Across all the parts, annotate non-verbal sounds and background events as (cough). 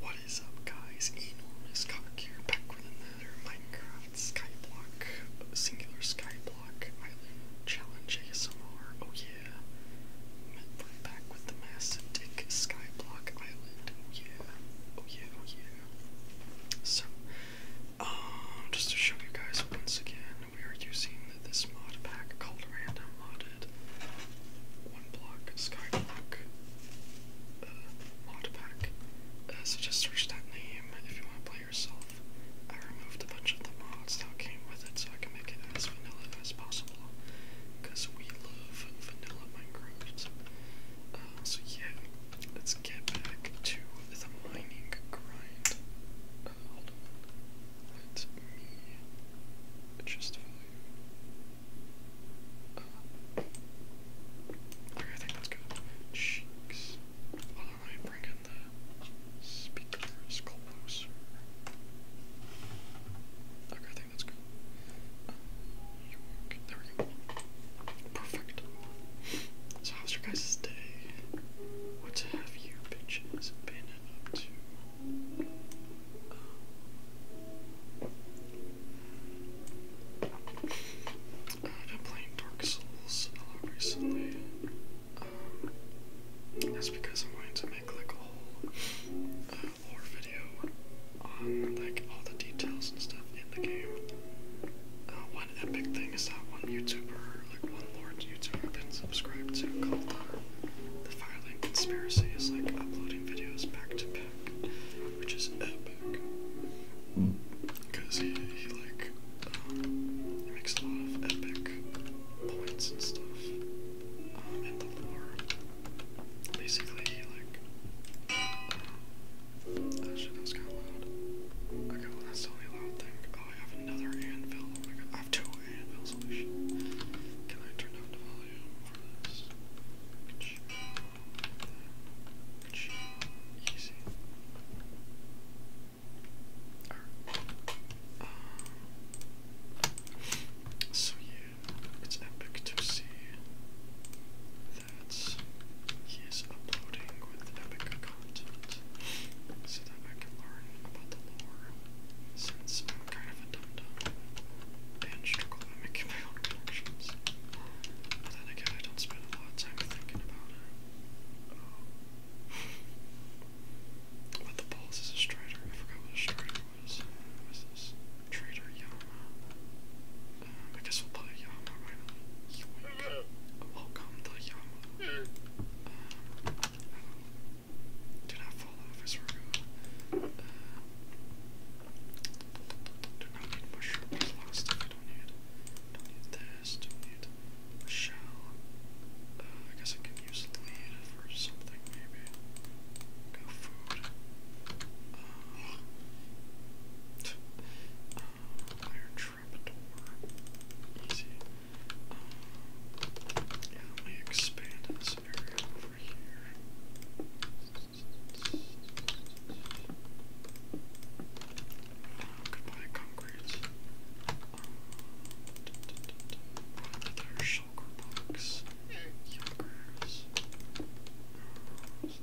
What is up guys, enormous cock here, back with another Minecraft Skyblock, singular Skyblock Island Challenge ASMR, oh yeah. back with the massive dick Skyblock Island, oh yeah, oh yeah, oh, yeah. So, um, just to show you guys once again, we are using this mod pack called Random Mod added one block skyblock uh, mod pack. Uh, so just search that name if you want to play yourself. I removed a bunch of the mods that came with it so I can make it as vanilla as possible. Because we love vanilla Minecraft. Uh, so yeah, let's get back to the mining grind. Uh, Let me adjust the Okay, I think that's good. Cheeks. Hold on, let me bring in the speakers closer. Okay, I think that's good. Um, there we go. Perfect. So, how's your guys' day? What have you bitches been up to? Um, I've been playing Dark Souls a lot recently. Um, that's because I'm going to make like a whole uh, lore video on like all the details and stuff in the game. Uh, one epic thing is that one YouTuber, like one Lord YouTuber I've been subscribed to called uh, the, the Firelink Conspiracy is like uploading videos back to which is epic. Because he, he like, uh, makes a lot of epic points and stuff um, Basically, like, oh shit, that was kind of loud. Okay, well that's the loud thing. Oh, I have another anvil. Oh my god, I have two anvils, holy Can I turn down the volume so yeah, it's epic to see that he is uploading with epic content so that I can learn about the lore since kind of a dum-dum. And struggle making my own connections. But then again, I don't spend a lot of time thinking about it. Um, the balls is a strider. I forgot what a strider was. What was this? Trader Yama. I guess we'll play Yama, why not? Welcome to Yama. do not fall off, I swear uh, do not need mushrooms. There's a I don't need. Don't need this. Don't need shell. I guess I can use lead for something, maybe. Go food. Um, uh, iron Easy. yeah, let me expand this area over here. Goodbye, concrete. Um, Another shulker box. Yunkers. Yoink. Then, this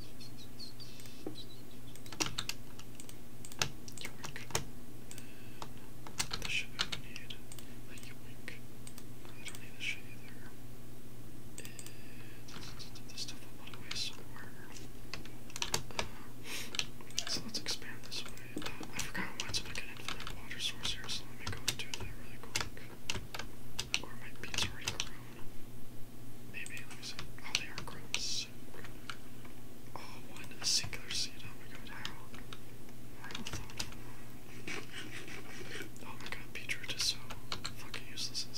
shit I don't need. A yoink. I don't need so let's expand this way. I forgot I wanted to make an water source here, so let me go and that really quick. Or my beets already grown. Maybe, let me see. Oh, they are grown. So oh, one a singular seed. Oh my god, how? Oh is so fucking useless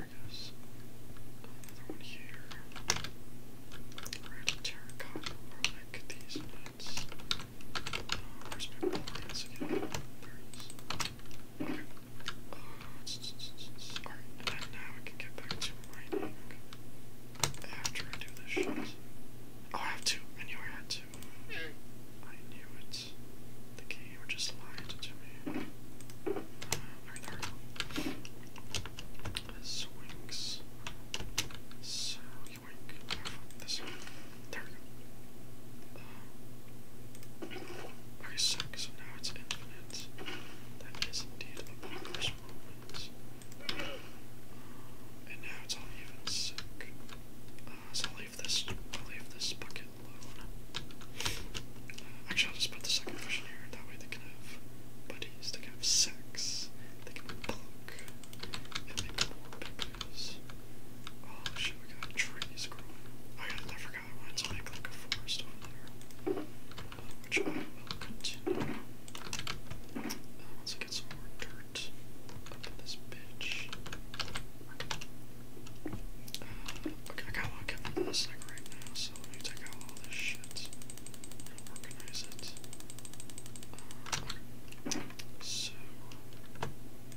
I guess. Another one here. Red terracotta, more like these nuts. Uh, where's my plants again? Alright, now I can get back to mining after I do this shit. Oh, I have to. I knew I had to. I knew it. The game just lied to me. Alright, uh, there we go. Swings. So, There we go. Um, okay, so, now it's infinite. That is indeed a bonkers moment. Uh, and now it's all even sick. Uh, so I'll leave this, I'll leave this bucket alone. actually, I'll just put the second version here, that way they can have they can have sex. They can cook. They make more Oh shit, we got trees growing. Oh, I forgot I wanted to like a forest over there. Uh, which I will continue. Uh, get some more dirt this bitch. Uh, I got a coming to this like right now, so let me take out all this shit organize it. so,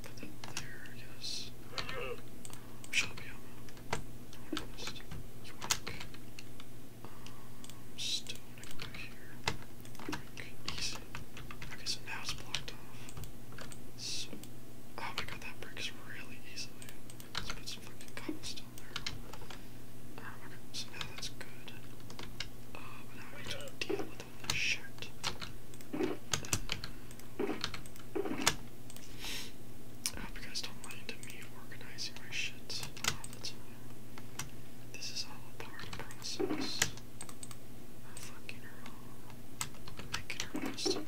put that there, I guess. Um, Shabiyama. No stone, here. Yoink. Easy. Okay, so now it's blocked off. So, oh my god, that breaks really easily. Let's put some fucking cobblestone so now that's good. Uh, but now I have to deal with all this shit. I hope you guys don't mind me organizing my shit This is all a part of the process. fucking wrong. Making her best tonight.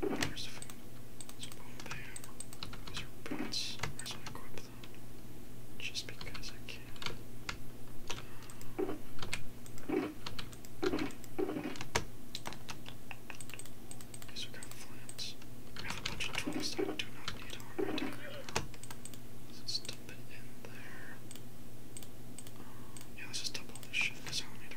There's the food. There's a bone there. Those are boots. I just want Just because I can. Guess we got flint. We have a bunch of tools that I do not need right now. Let's dump it in there. Um, yeah, let's just dump all this shit because I don't need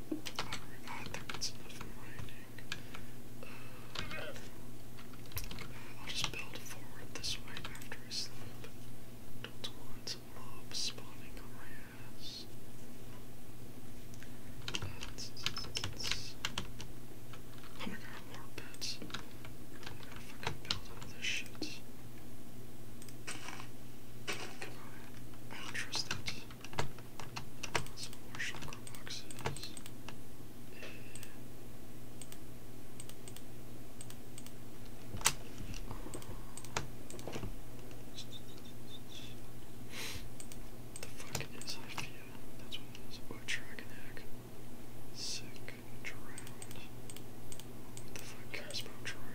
I think that's enough of I'll just build forward this way after I sleep. Don't want some mobs spawning on my ass. Uh, that's, oh my god, more beds. I wonder if I build all this shit. Come on. I don't some the fuck is Hyphia? That's what it is. Oh, Dragonac. Sick. Drowned. What the fuck cares about Drowned?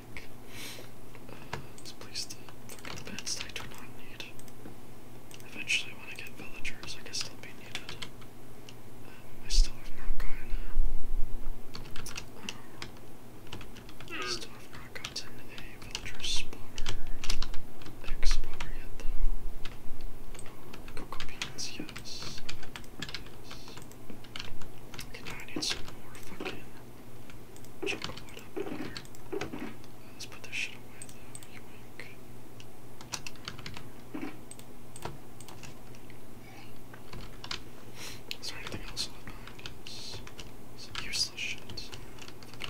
think. Uh, let's place the fucking bed state we not need. Eventually when I get villagers I guess they'll be needed. Uh, I still have not gotten uh, I hmm. still have not gotten a villager spawner, egg spawner yet though. Cocoa beans, yes. Okay, I need some more fucking chunk up here. let's put this shit away though, you wink. Is there anything else left behind? useless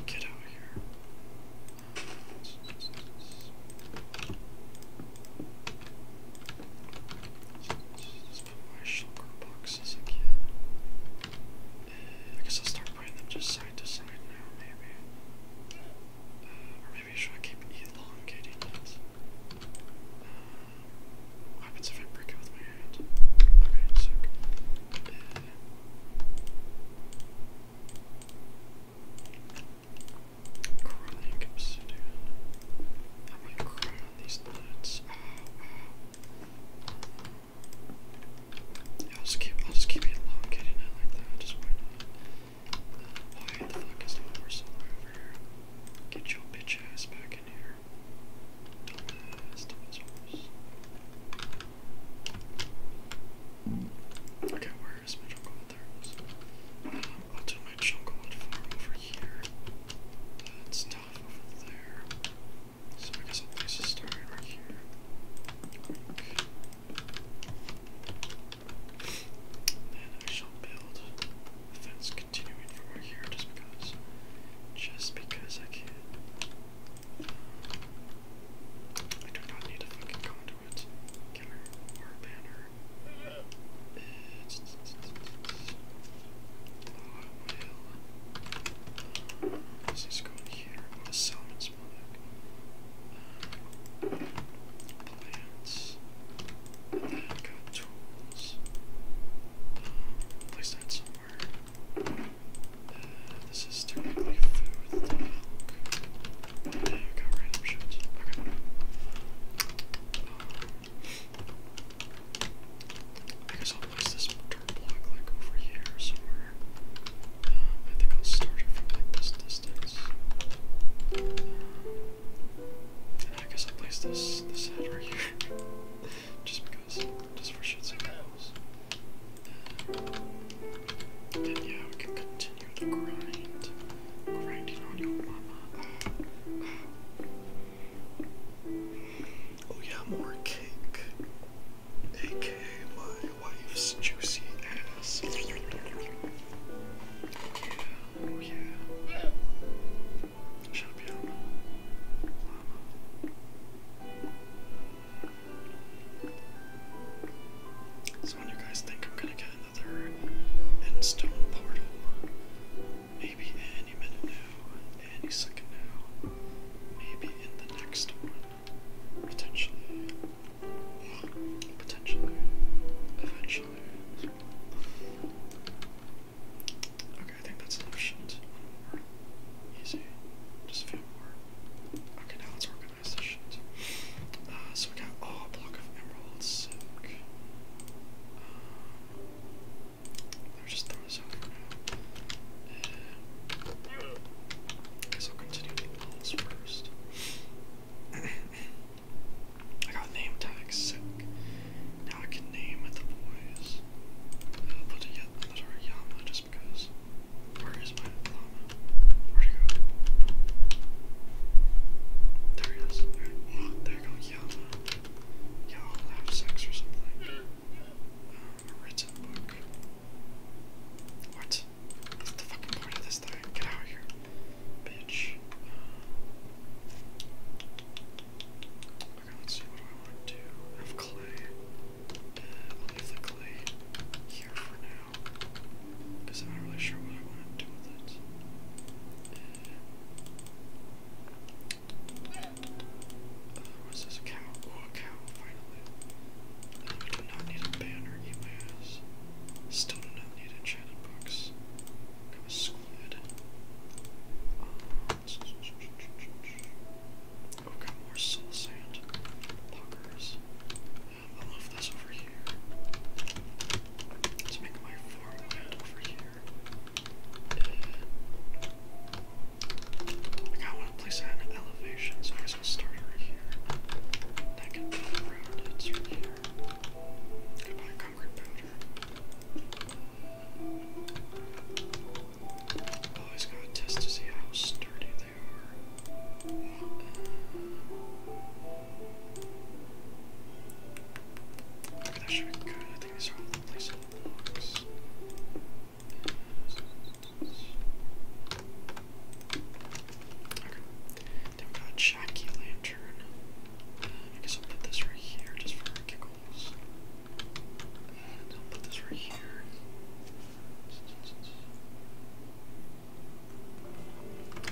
get out of here put my shulker boxes again. Uh, I guess I'll start putting them just side to side now, maybe. Uh, or maybe should I keep elongating it? Uh, what happens if I break it with my hand? Okay, sick. Uh, Crawling obsidian. am gonna these nuts. I'll just keep, I'll just keep elongating it like that. Just uh, why the fuck is the horse over here? Get your bitch ass back in here. Dumbass, dumbass horse. Okay, where is my jungle there? Um, I'll do my jungle farm over here. That's uh, so I guess a place to right here. Then I shall build a fence continuing right here just because just because I can. Uh, I do not need a fucking conduit, banner will. Let's here. What is Solomon's Monarch? plants. got tools. Um, place that somewhere. Uh, this is technically food with milk. Yeah, got random I guess I'll place this dirt block like over here somewhere. Um, I think I'll start it from like this distance. Um, I guess I'll place this this head right here. (laughs) just because just for shits and giggles. then yeah, we can continue the grind. Grinding on your mama. Oh yeah, more cake. AKA my wife's juicy ass. Oh, so when you guys think I'm gonna get another endstone portal, Maybe any minute now, any second now, maybe in the next one. Potentially. Potentially. Eventually. Okay, I think that's enough shit. One more. Easy. Just a few more. Okay, now let's organize this shit. Uh, so we got, oh, block of emerald I'll just throw this out now. Uh, guess I'll continue the walls first. I got name tags sick. Now I can name the boys. I'll put a another Yama just because. Where is my llama? There he is. There, oh, Yama. Y'all have sex or something. Um, a written book. What? That's the fucking point of this thing. Get out of here, bitch. okay, let's see. What I want to I have clay. Uh, I'll leave the clay here for now. Because I'm not really sure what I want to do with it. Uh, uh, what's this? Oh, a cow? Oh, a cow, finally. Uh, I do not need a banner, eat my ass. Still do not need enchanted books. Got a squid. Uh, oh, got more soul sand. Puckers. Um, I'll move this over here. Let's make my farmland over here. I want to place that elevation, so I guess we'll start right here. That can build around it, here. Always gotta test to see how sturdy they are. Uh, that should be good. I think these are all then we got Jackie Lantern. Uh, I guess I'll put this right here just for giggles. And I'll put this right here.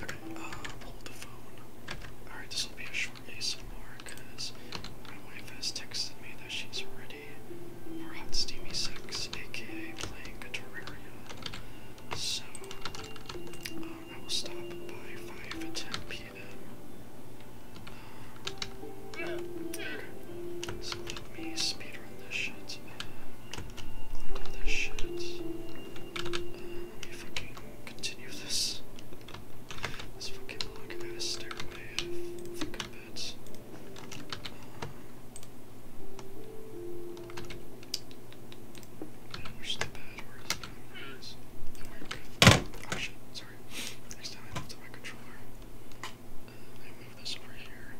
Okay, uh, hold the phone. Alright, this will be a short shortly some more my wife has texted me that she's ready for Hot Steamy Sex, aka playing Terraria. So um, I will stop by 5 at 10 p.m. So let me speedrun this shit. Uh, click on this shit. Uh, fucking continue this. This fucking log ass stairwell. I the bad were as bad as Oh shit, sorry. Next time I moved my controller. I move this over here.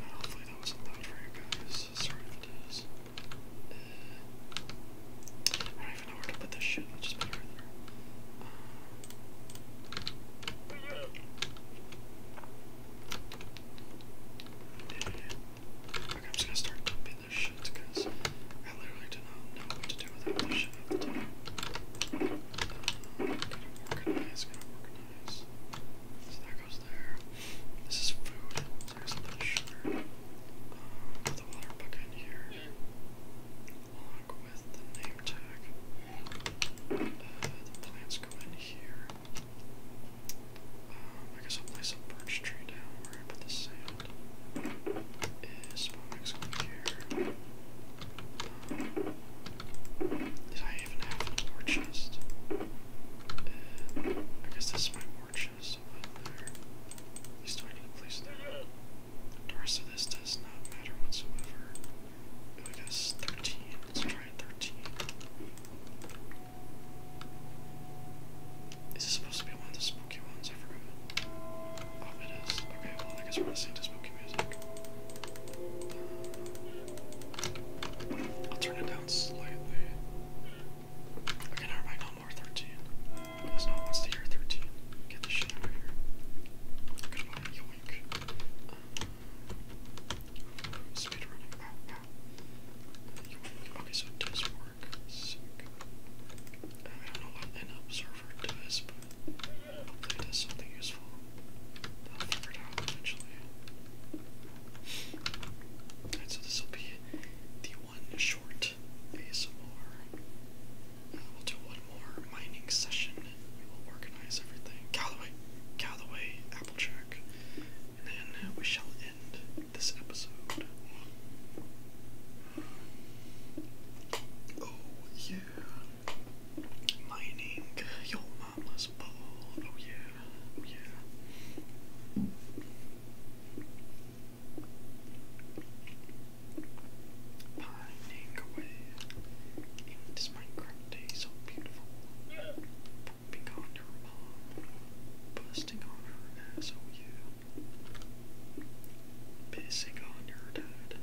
hopefully that wasn't loud for you guys. Sorry if it is. I don't even know where to put this shit. Let's just put it right there. Uh, okay, I'm just gonna start dumping this shit because I literally do not know what to do without this shit uh, at the So that goes there. This is food. There's a little sugar. put uh, the water bucket in here along with the name tag. the plants go in here. I guess I'll place a birch tree down where I put the sand. Is Spomex going here? did I even have an war chest? I guess this is my war is still uh, there. He's starting to place there. The rest of this does not matter whatsoever. I guess 13. Let's try 13. Is this supposed to be one of the spooky ones? I forgot. Oh, it is. Okay, well, I guess we're listening to spooky music. Uh, I'll turn it down slightly. Okay, never mind. No, more 13. There's no one wants to hear 13. Get uh, oh, the shit out of here. I'm yoink. Um, Okay, so it does work. Sick. I don't know what an observer does, but hopefully does something useful. I'll figure eventually. so this will be the one short ASMR. Uh, we'll do one more mining session we will organize everything. Callaway, Callaway, Applejack. And then we shall end this episode. Oh yeah. Mining your mama's ball. Oh yeah. Oh yeah pining away in this Minecraft day so beautiful, pooping on your mom, busting on her ass, oh yeah, pissing on your dad,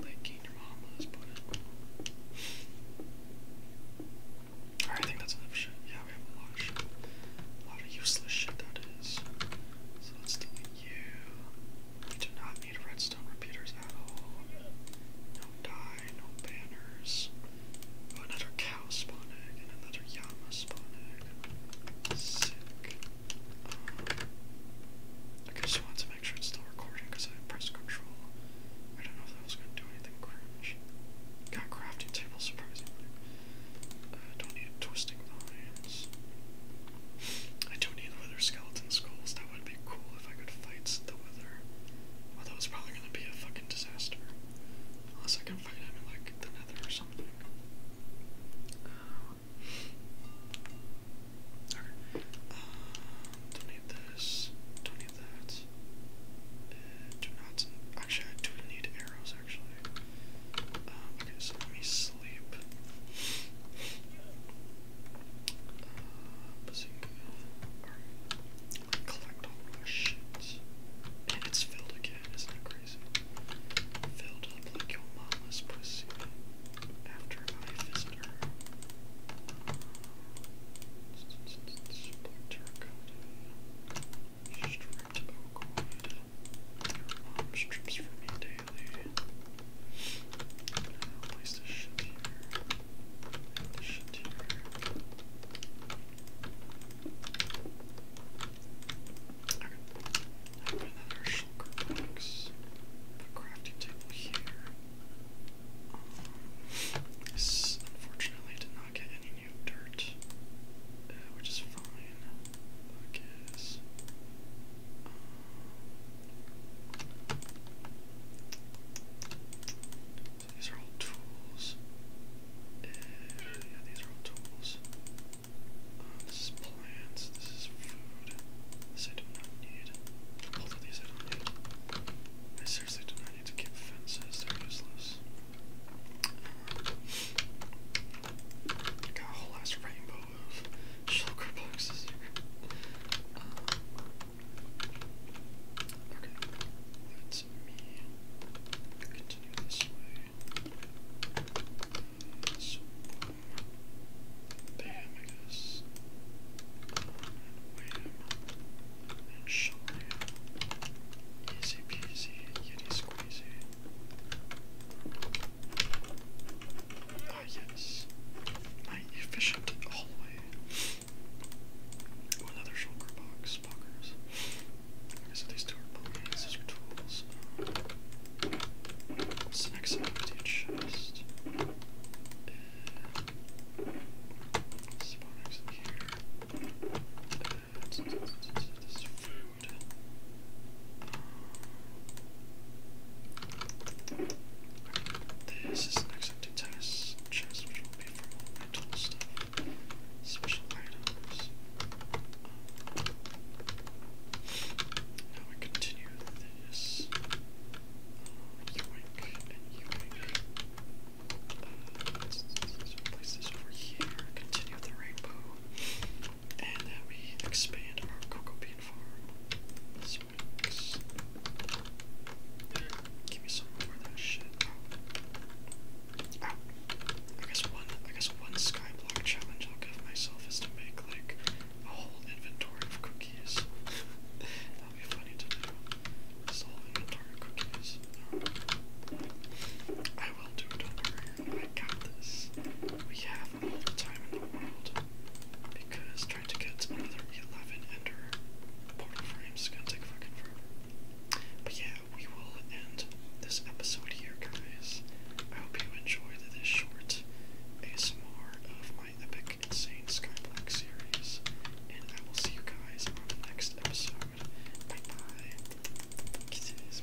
licking your mama's butt. Alright, I think that's enough shit. Yeah, we have A lot of useless shit that is. So let's delete you do not need redstone repeaters at all. No dye, no banners. Oh, another cow spawn another llama spawn Sick. Um, I just want to make sure it's still recording because I pressed Ctrl. I don't know if that was going to do anything cringe. Got crafting table, surprisingly. I don't need twisting vines. I do need wither skeleton skulls. That would be cool if I could fight the wither. Well, that was probably gonna be a fucking disaster. Unless I can fight him in like the nether or something. Uh, okay. Uh, don't need this. Don't need that. Uh, Actually, I do need arrows actually. Um, okay, so let me sleep. Uh, collect all my shit. And it's filled again, isn't it crazy? Filled up like your mama's pussy after I visit her. Splinter coated, Mom strips for me daily. place this shit here. And this shit here. Okay. I have another shulker box. A crafting table here. this unfortunately did not get any new dirt, uh, which is fine. I these are all tools. Eh, yeah, these are all tools. Uh, this is plants. This is food. This I do not need. Both of these I don't need. I seriously do not need to keep fences. They're useless. Got a whole ass rainbow of shulker boxes here. Um, okay, let me continue this way. Bam, I guess. Um, And shalom. Easy peasy, yeti squeezy. Ah, yes. My efficient hallway. another shoulder box. Bonkers. Okay, so these tools. what's the next empty chest? Uh, here. Uh, this food. This is an to tennis chest, which will be for all mental stuff, now we continue this. Uh, you and you uh, let's place this over here. Continue the rainbow and that we expand our cocoa bean farm. This works. Give me some more of that shit. I guess one I guess one skyblock challenge I'll give myself is to make like a whole inventory of cookies. (laughs) That'll be funny to do. This whole inventory of cookies. Um, I will do it, I got this. We time in the world because trying to get another 11 ender portal frames gonna take fucking forever. But yeah, we will end this episode here, guys. I hope you enjoyed this short ASMR of my epic insane Skyblock series, and I will see you guys on the next episode. bye. Kisses.